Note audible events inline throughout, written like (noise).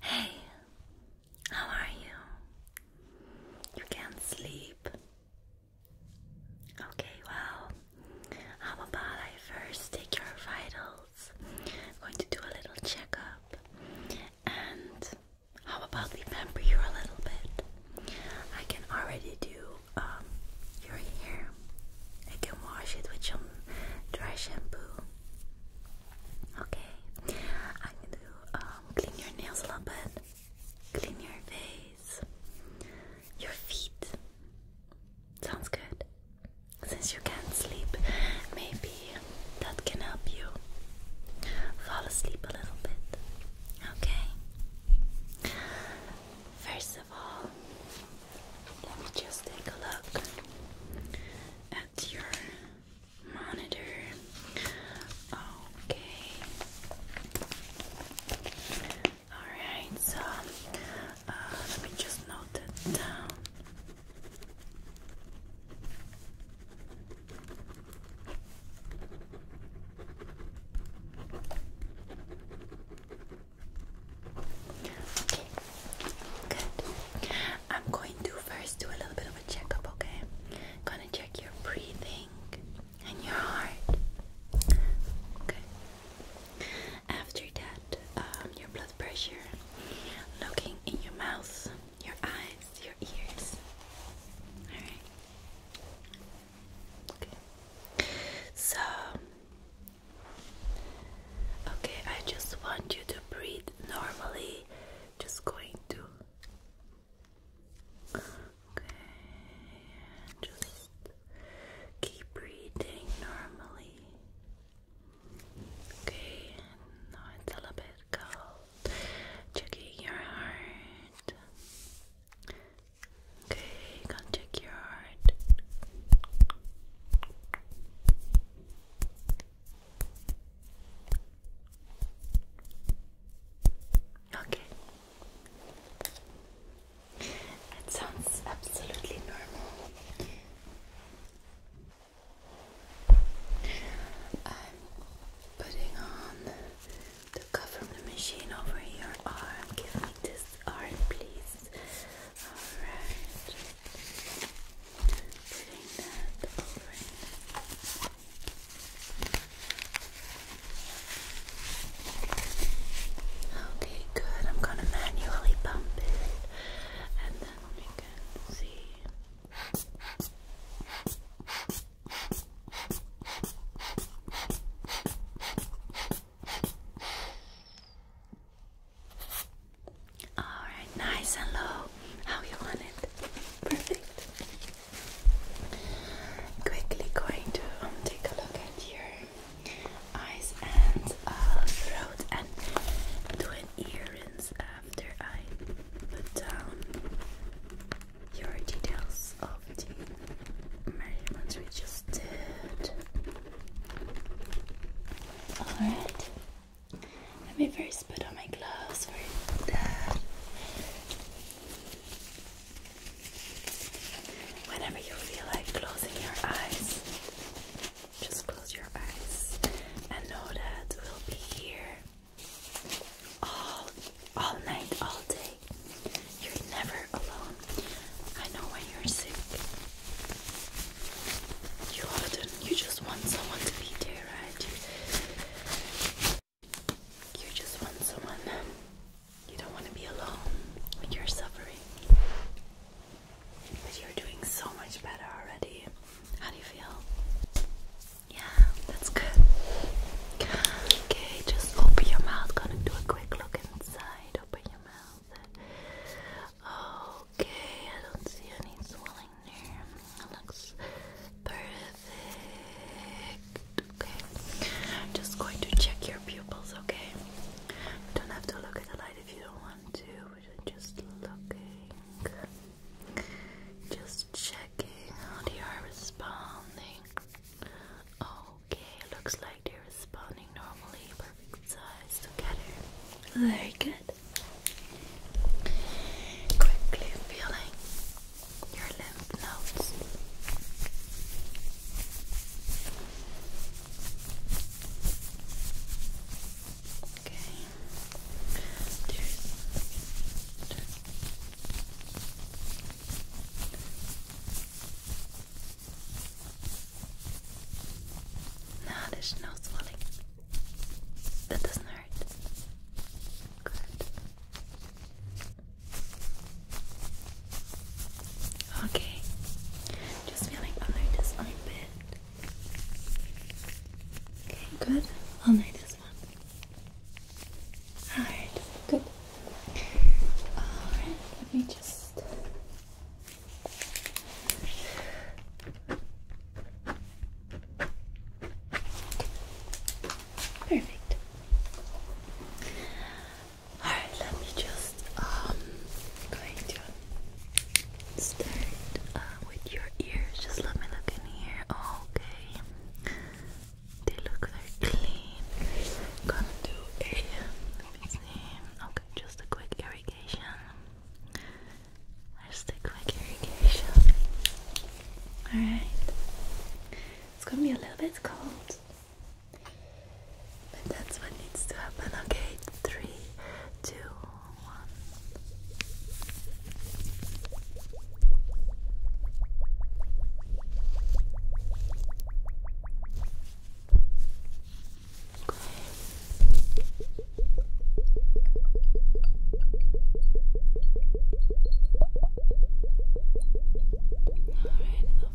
Hey, how are you? You can't sleep. Okay, well, how about I first take your vitals? I'm going to do a little checkup. And how about we pamper you a little bit? I can already do um, your hair. I can wash it with some dry shampoo. Okay, I'm going to um, clean your nails a little bit, clean your face, your feet. Sounds good. Since you can't sleep, maybe that can help you fall asleep a little bit. Okay? First of all, let me just take a look at your monitor. Okay. Alright, so uh, let me just note that down. Okay. Good. I'm going to first do a little bit of a checkup, okay? Gonna check your breathing and your heart. Okay. After that, um, your blood pressure, looking in your mouth, your eyes, your ears. Alright. Okay. So Okay, I just want you to breathe normally. Just going to. Okay, just keep breathing normally. Okay, now it's a little bit cold. Checking your heart. Okay, go check your heart. Okay. That sounds absolutely normal. I'm putting on the cuff from the machine over your oh, arm. Give me this arm, please. Alright. Putting that over it. Okay, good. I'm gonna manually pump it, and then we can see. Alright, nice and low. How you want it? Perfect. Quickly going to um, take a look at your eyes and uh, throat and do an ear rinse after I put down your details of the measurements we just did. Alright. Let me first put on my gloves for that. Whenever you feel like closing your eyes, just close your eyes and know that we'll be here all all night, all day. You're never alone. I know when you're sick. You harden. You just want someone to be there, right? You, you just want someone. You don't want to be alone when you're suffering. But you're doing so much better already. How do you feel? Yeah, that's good. Okay, just open your mouth. Gonna do a quick look inside. Open your mouth. Oh, Okay, I don't see any swelling there. It looks perfect. Okay, I'm just going to check your pupils, okay? You don't have to look at the light if you don't want to. We're just looking. Just checking how they are responding. Okay, looks like they're spawning normally, perfect size together. Very good. Quickly feeling your lymph nodes. Okay. No, there's no swelling. That doesn't hurt. Good. Okay. Just feeling under this armpit. Okay, good. Under this one. Alright, good. Alright, let me just Perfect. All right, let me just um going to start uh, with your ears. Just let me look in here. Okay, they look very clean. Gonna do a Okay just a quick irrigation. Just a quick irrigation. Alright. It's gonna be a little bit cold. But that's what needs to happen. Okay, three, two, one. Alright, it'll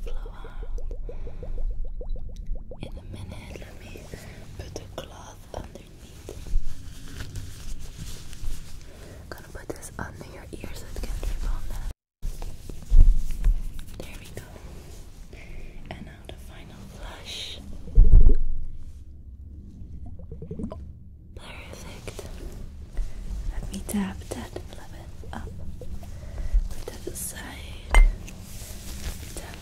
flow out. In a minute, let me put the cloth underneath. I'm gonna put this under your ear so it can drip on that. There we go. And now the final flush. Perfect. Let me tap that up. Put that aside. Tap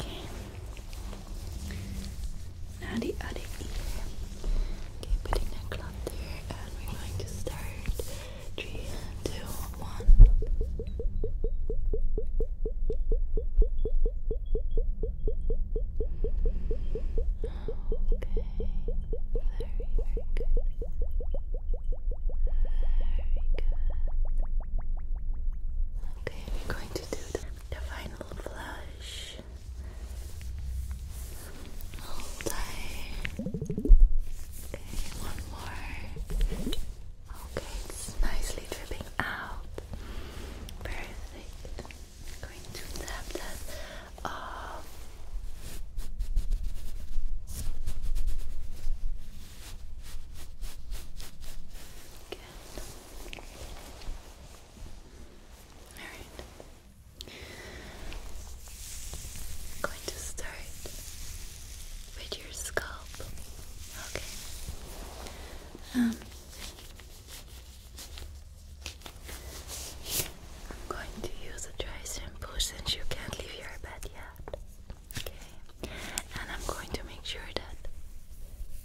Okay. Nadi Adi E. Okay, putting that cloth there, and we're going to start. Three, two, one. Okay, very, good. Very good. Okay, we're going to do the final flush. Okay, one more. Okay, it's nicely dripping out. Perfect. i going to tap that off. Good. I'm going to start with your scalp. Okay. Um, I'm going to use a dry shampoo since you can't leave your bed yet. Okay. And I'm going to make sure that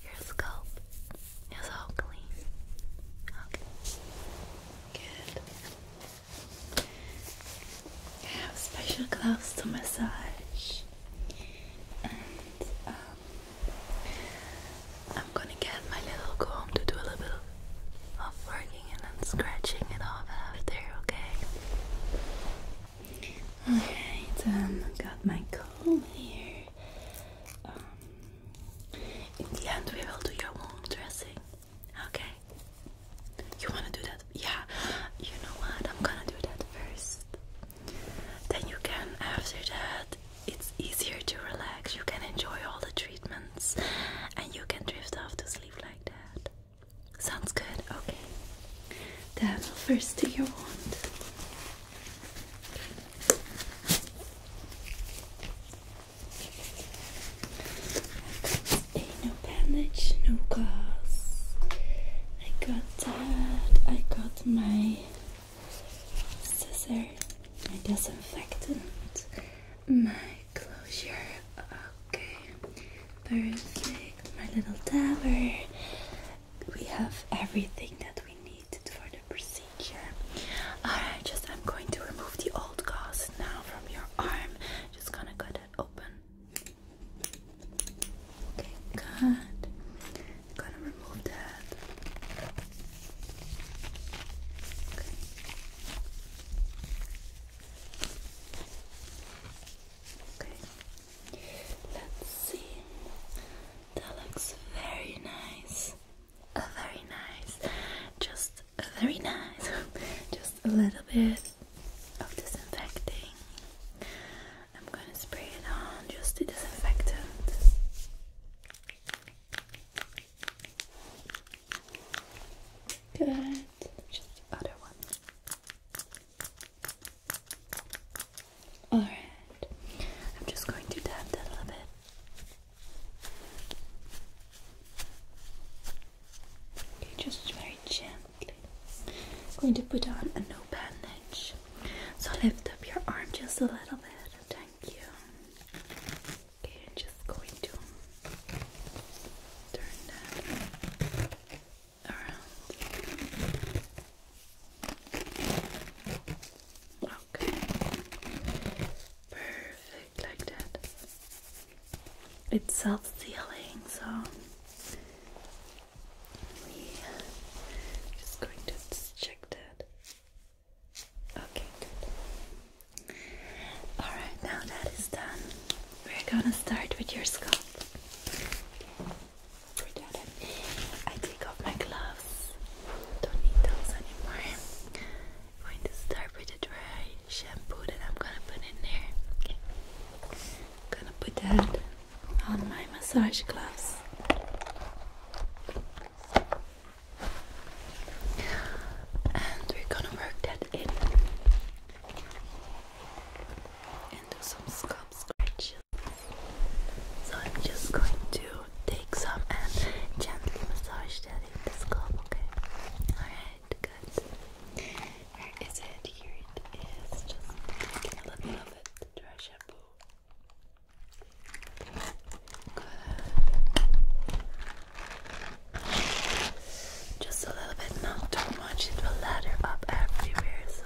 your scalp it's all clean. Okay. Good. I have special gloves to massage. And um, I'm gonna get my little comb to do a little bit of working and scratching it off after, okay? Alright, um, got my comb here. Um, in the end, we will do your own dressing. Okay? You wanna do that? Yeah. You know what? I'm gonna do that first. Then you can, after that, it's easier to relax. You can enjoy all the treatments and you can drift off to sleep like that. Sounds good? Okay. Then I'll first do your wound no bandage, no gauze. I got that. I got my scissor, my disinfectant, my closure. Okay, perfect. My little dabber we have everything that we need for the procedure. Alright, just I'm going to remove the old gauze now from your arm. Just gonna cut it open. Okay, good. Gonna remove that. Okay. Let's see. That looks very nice. Uh, very nice. Just uh, very nice. (laughs) Just a little bit of disinfecting. I'm going to spray it on just the disinfectant. Good. Just other one. Alright, I'm just going to tap that a little bit. Okay, just very gently. I'm going to put on a no bandage. So lift up your arm just a little bit. Thank you. Okay, I'm just going to turn that around. Okay. Perfect, like that. It's self-sealing, so we just going to check that. Okay, Alright, now that is done, we're gonna start with your scalp. I take off my gloves. Don't need those anymore. am going to start with the dry shampoo that I'm gonna put in there. gonna put that on my massage gloves. And we're gonna work that in and do some scalp scratches. So I'm just going to take some and gently massage that in the scalp, okay? Alright, good. Where is it? Here it is. Just a little of Dry shampoo. Just a little bit, not too much. It will lather up everywhere, so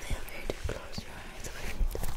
Feel free to close your eyes when you talk.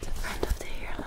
the front of the hairline.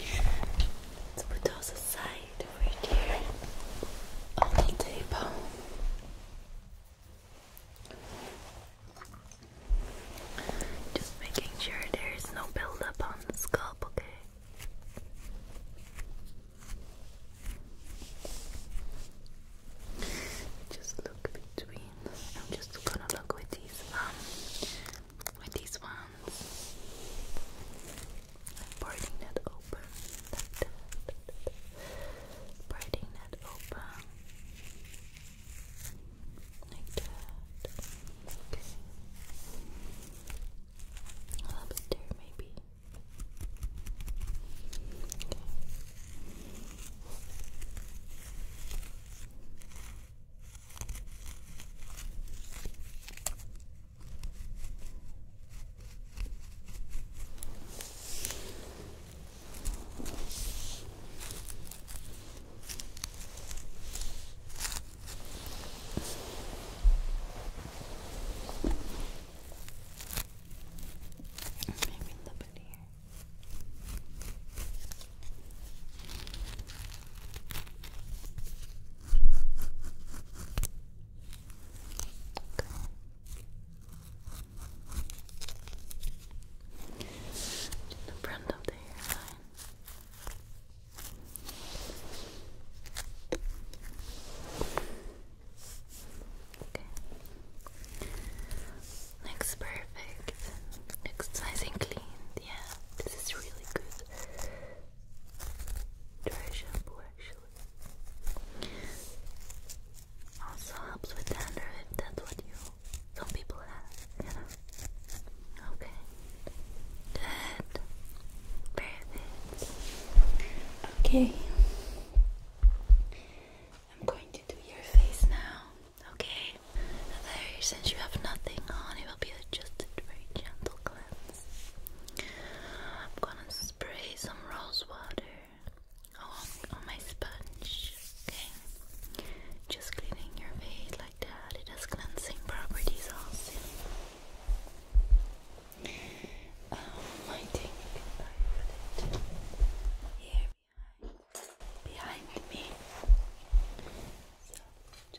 Let's put those aside over here on the table. Just making sure there is no buildup on the scalp, okay? Just look between. I'm just gonna look with these um, with these ones sounds. I'm parting that Parting that open. Like that. A little bit there, maybe. Maybe a little bit here the front of the hairline. Okay. Next, perfect. Looks nice and clean. Yeah, this is really good dry shampoo actually. Also helps with dandruff that's what you some people have, Okay. Good. Perfect. Okay. I'm going to do your face now. Okay, since you have nothing on, it will be just very gentle cleanse. I'm gonna spray some rose on, on my sponge, okay? Just cleaning your face like that, it has cleansing properties also. Um, I think it here behind me. So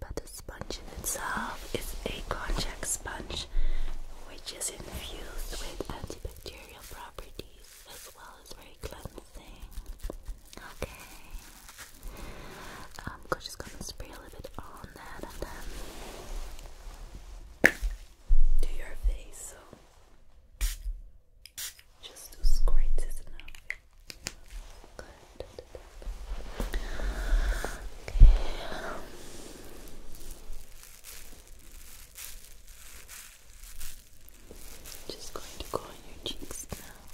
but the sponge in itself is a konjac sponge which is infused with antibacterial properties as well as very cleansing. Okay. I'm um, just gonna spray a little bit on that and then do your face. So just do squirts enough. Good. Okay. Just going to go on your cheeks now.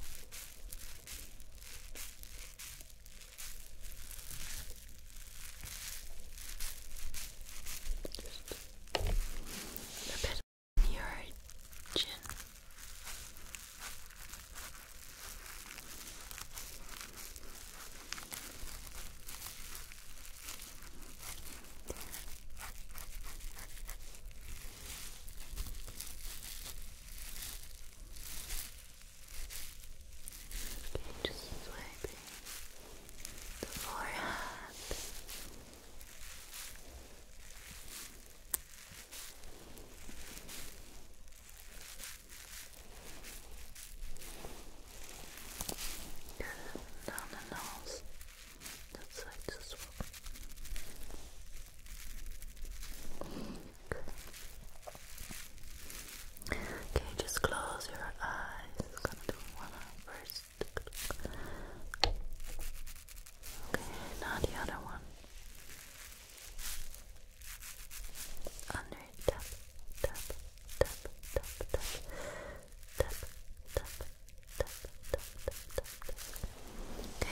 Just a bit on your chin. Okay, just swiping the forehead. Okay down the nose, that side as well. Okay, okay just close your eyes. gonna do one Okay, now the other one under tap tap tap tap tap tap tap tap tap tap okay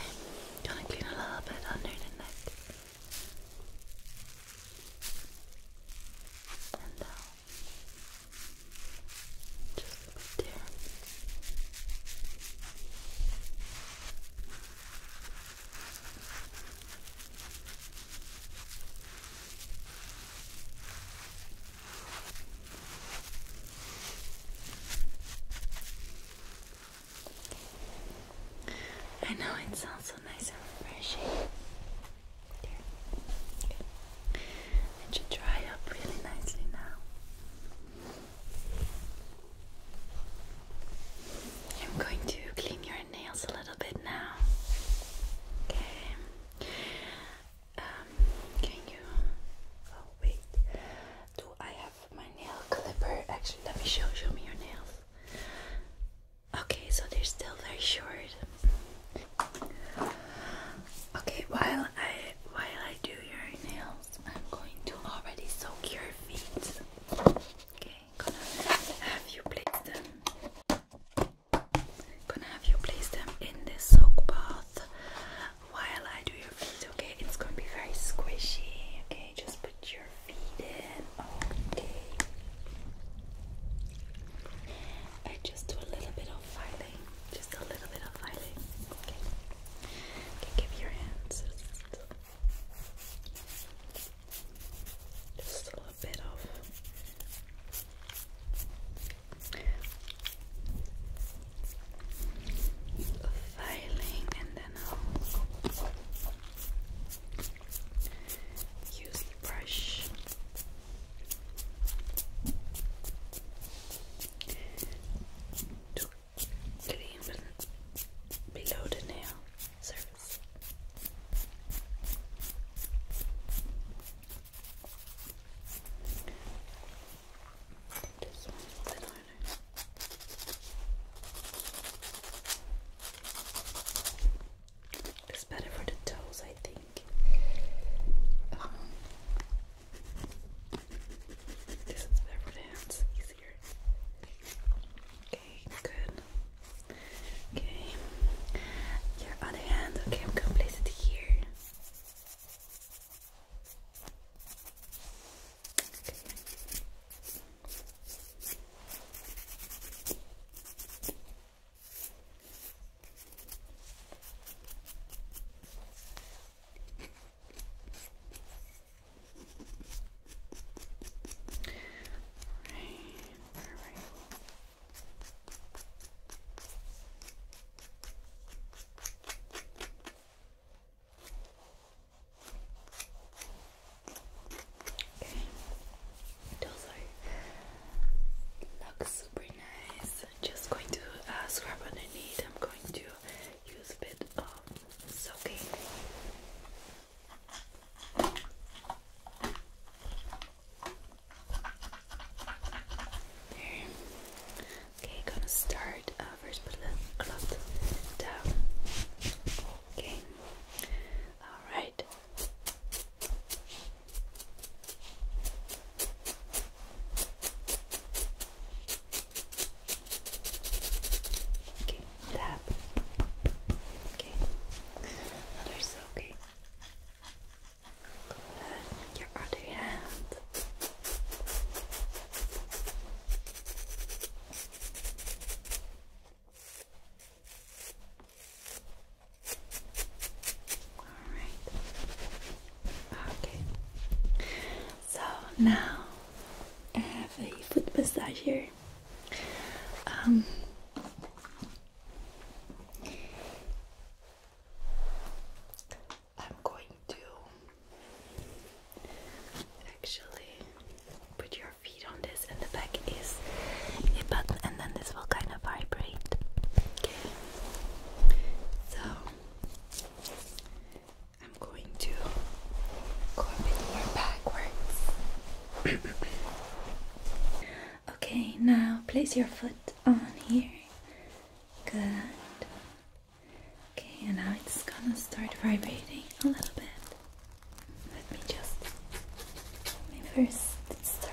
you to clean a little bit under the neck and down just there I know it sounds so nice and refreshing. It should dry up really nicely now. I'm going to clean your nails a little bit now. Okay. Um, can you? Oh wait. Do I have my nail clipper? Actually, let me show. Show me your nails. Okay, so they're still very short. Okay, while I while I do your nails, I'm going to already soak your feet. Okay gonna have you place them. Gonna have you place them in this soak bath while I do your feet. Okay, it's gonna be very squishy. Okay, just put your feet in. Okay. I just do a little bit of filing. Just a little bit of filing. Okay. Okay, give your hands. Just a little bit of filing, and then I'll use the brush to the uh, implant below the nail surface. This one's the It's better for the toes, I think. Um, this is better for the hands, easier. Okay, good. Okay, your other hand. Okay, I'm going here. All right. Okay, looks super nice. just going to uh, scrub underneath. I'm going to use a bit of soaking. Okay, gonna start. Uh, first, put the cloth down. Okay. All right. Okay, tap. Okay, others okay. Your other hand. All right. Okay. So now I have a foot massage here. Um, I'm going to actually put your feet on this, and the back is a button, and then this will kind of vibrate. Okay, so I'm going to go a bit more backwards. (coughs) okay, now place your foot on here. Good. Okay, and now it's gonna start vibrating a little bit. Let me just let me first start